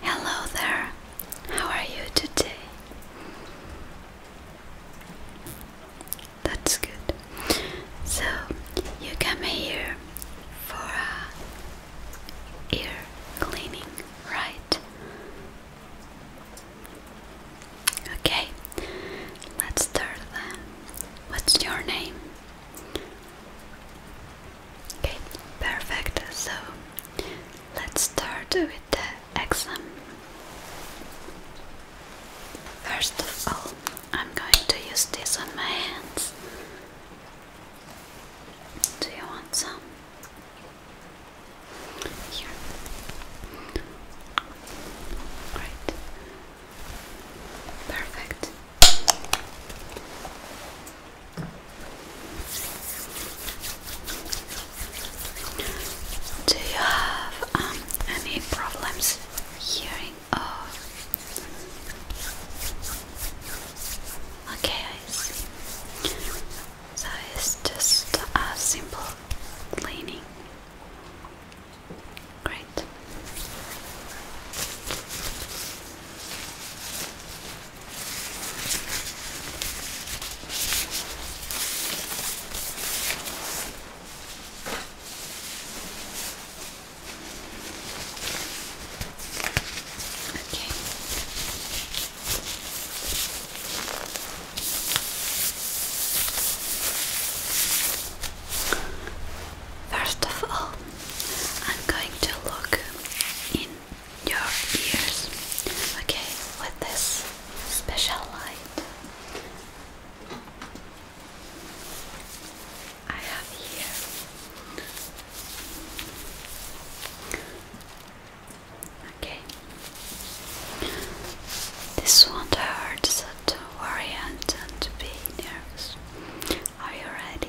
Hello there, how are you today? That's good. So, you come here for a ear cleaning, right? Okay, let's start then. What's your name? Okay, perfect. So let's start with the exam. First of all, I'm going to use this on my hands. Do you want some? Here. Great. Perfect. Do you have um, any problems hearing? Oh, okay, I see. So it's just a simple cleaning. Great. Okay. First of all, I'm going to look in your ears. Okay, with this special light, I have here okay this won't hurt so don't worry and don't be nervous are you ready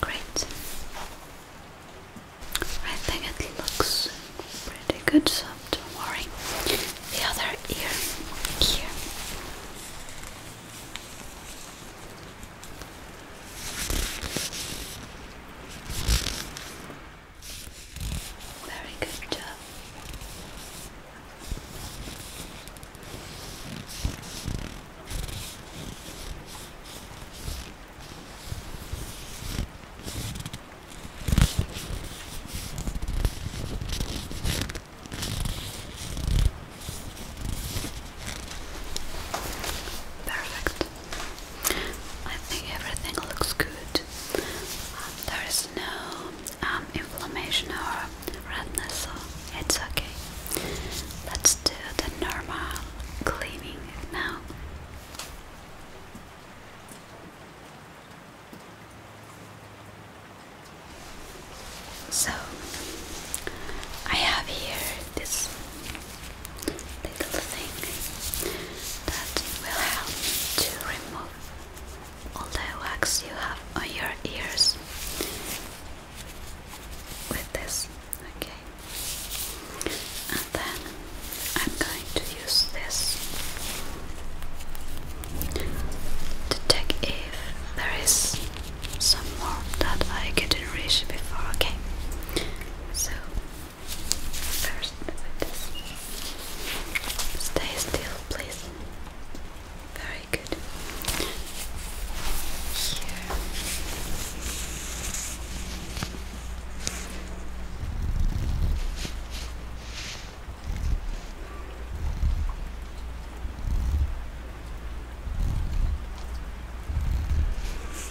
Great. I think it looks pretty good, so don't worry. The other ear here. Very good job. Perfect. I think everything looks good. Um, there is no um, inflammation or redness, so it's okay. Let's do the normal cleaning now. So, I have here this little thing that will help to remove all the wax you have on your ears with this. Okay, and then I'm going to use this to check if there is some more that I couldn't reach before. Okay, so, first, stay still, please. Very good. Here.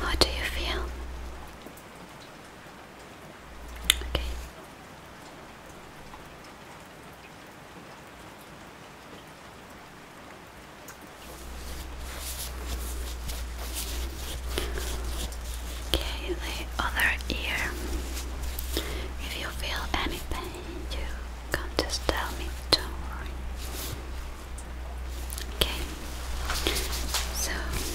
How do you feel? Okay. Okay, the other ear. If you feel any you can just tell me, don't worry. Okay, so here.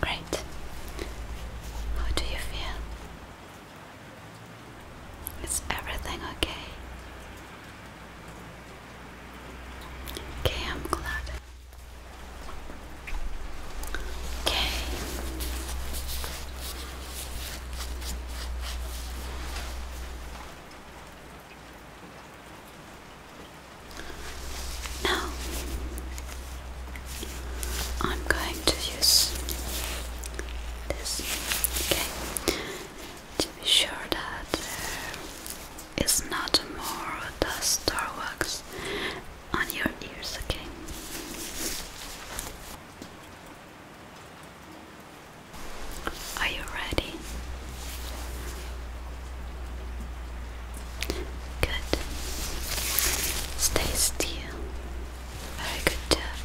Great. How do you feel? Is everything okay? Okay, I'm glad. Okay. Now I'm going to use this. Okay to be sure that it's not more dust or wax on your ears, again. Are you ready? Good. Stay still. Very good job.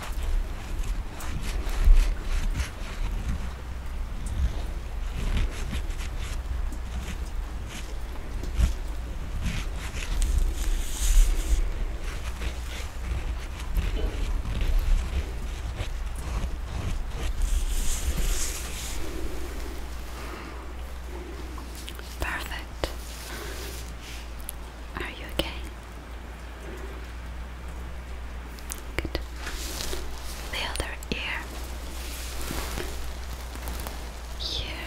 Perfect. Are you okay? Good. The other ear. Here.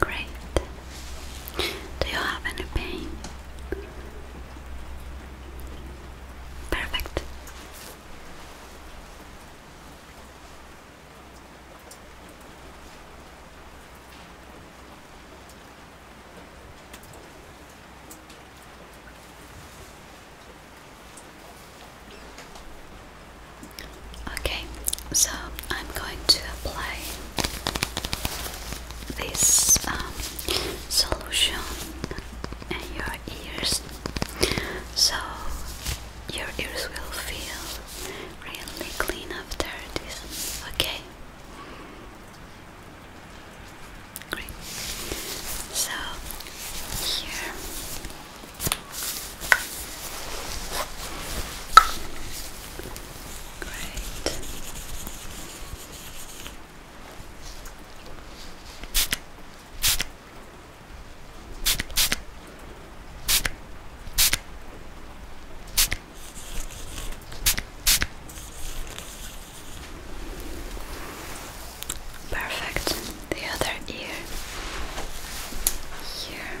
Great. Do you have any pain? Perfect. Okay, so I'm going to apply this um, solution in your ears so your ears will feel really clean after this. Okay, Great. So here Great. Perfect. The other ear here.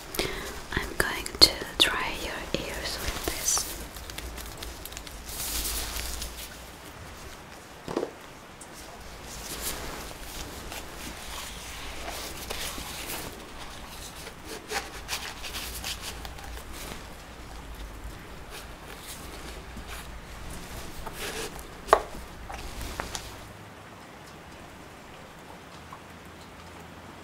I'm going to dry your ears with this.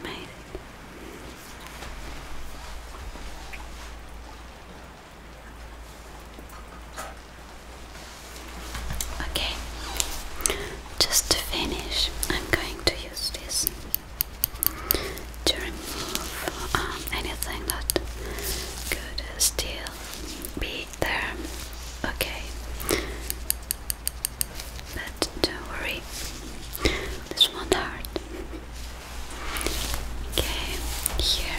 Amazing. Okay, just to finish, I'm going to use this to remove um, anything that could still be there. Okay, but don't worry, this won't hurt. Okay, here.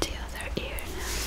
the other ear now. Here.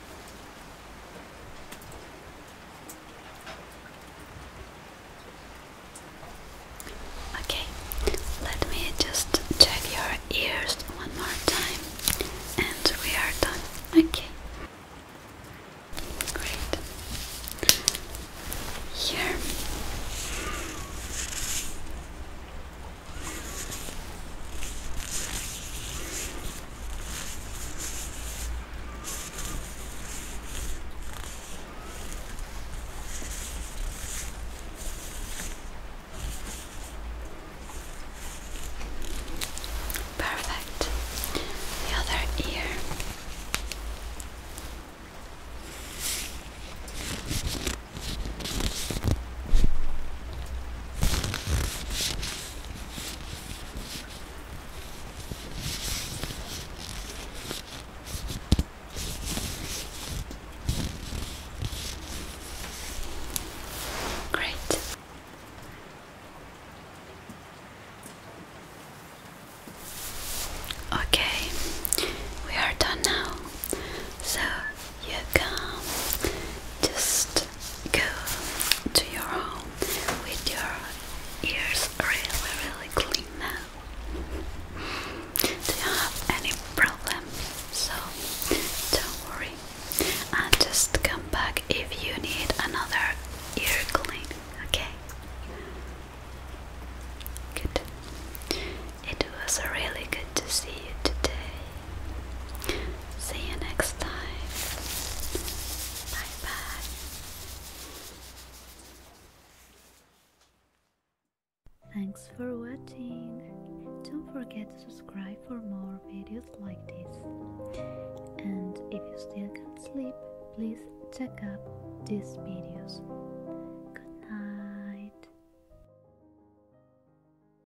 Okay, let me just check your ears one more time, and we are done. Okay, great. Here. Perfect. The other ear. Great. Okay, we are done now. So you come, just go to your home with your ears really, really clean now. Do you have any problem? So don't worry, and just come back if you need another ear cleaning. Okay. Good. It was really good to see you today. See you next time. Bye bye. Thanks for watching. Don't forget to subscribe for more videos like this. And if you still can't sleep, please check out these videos. Good night.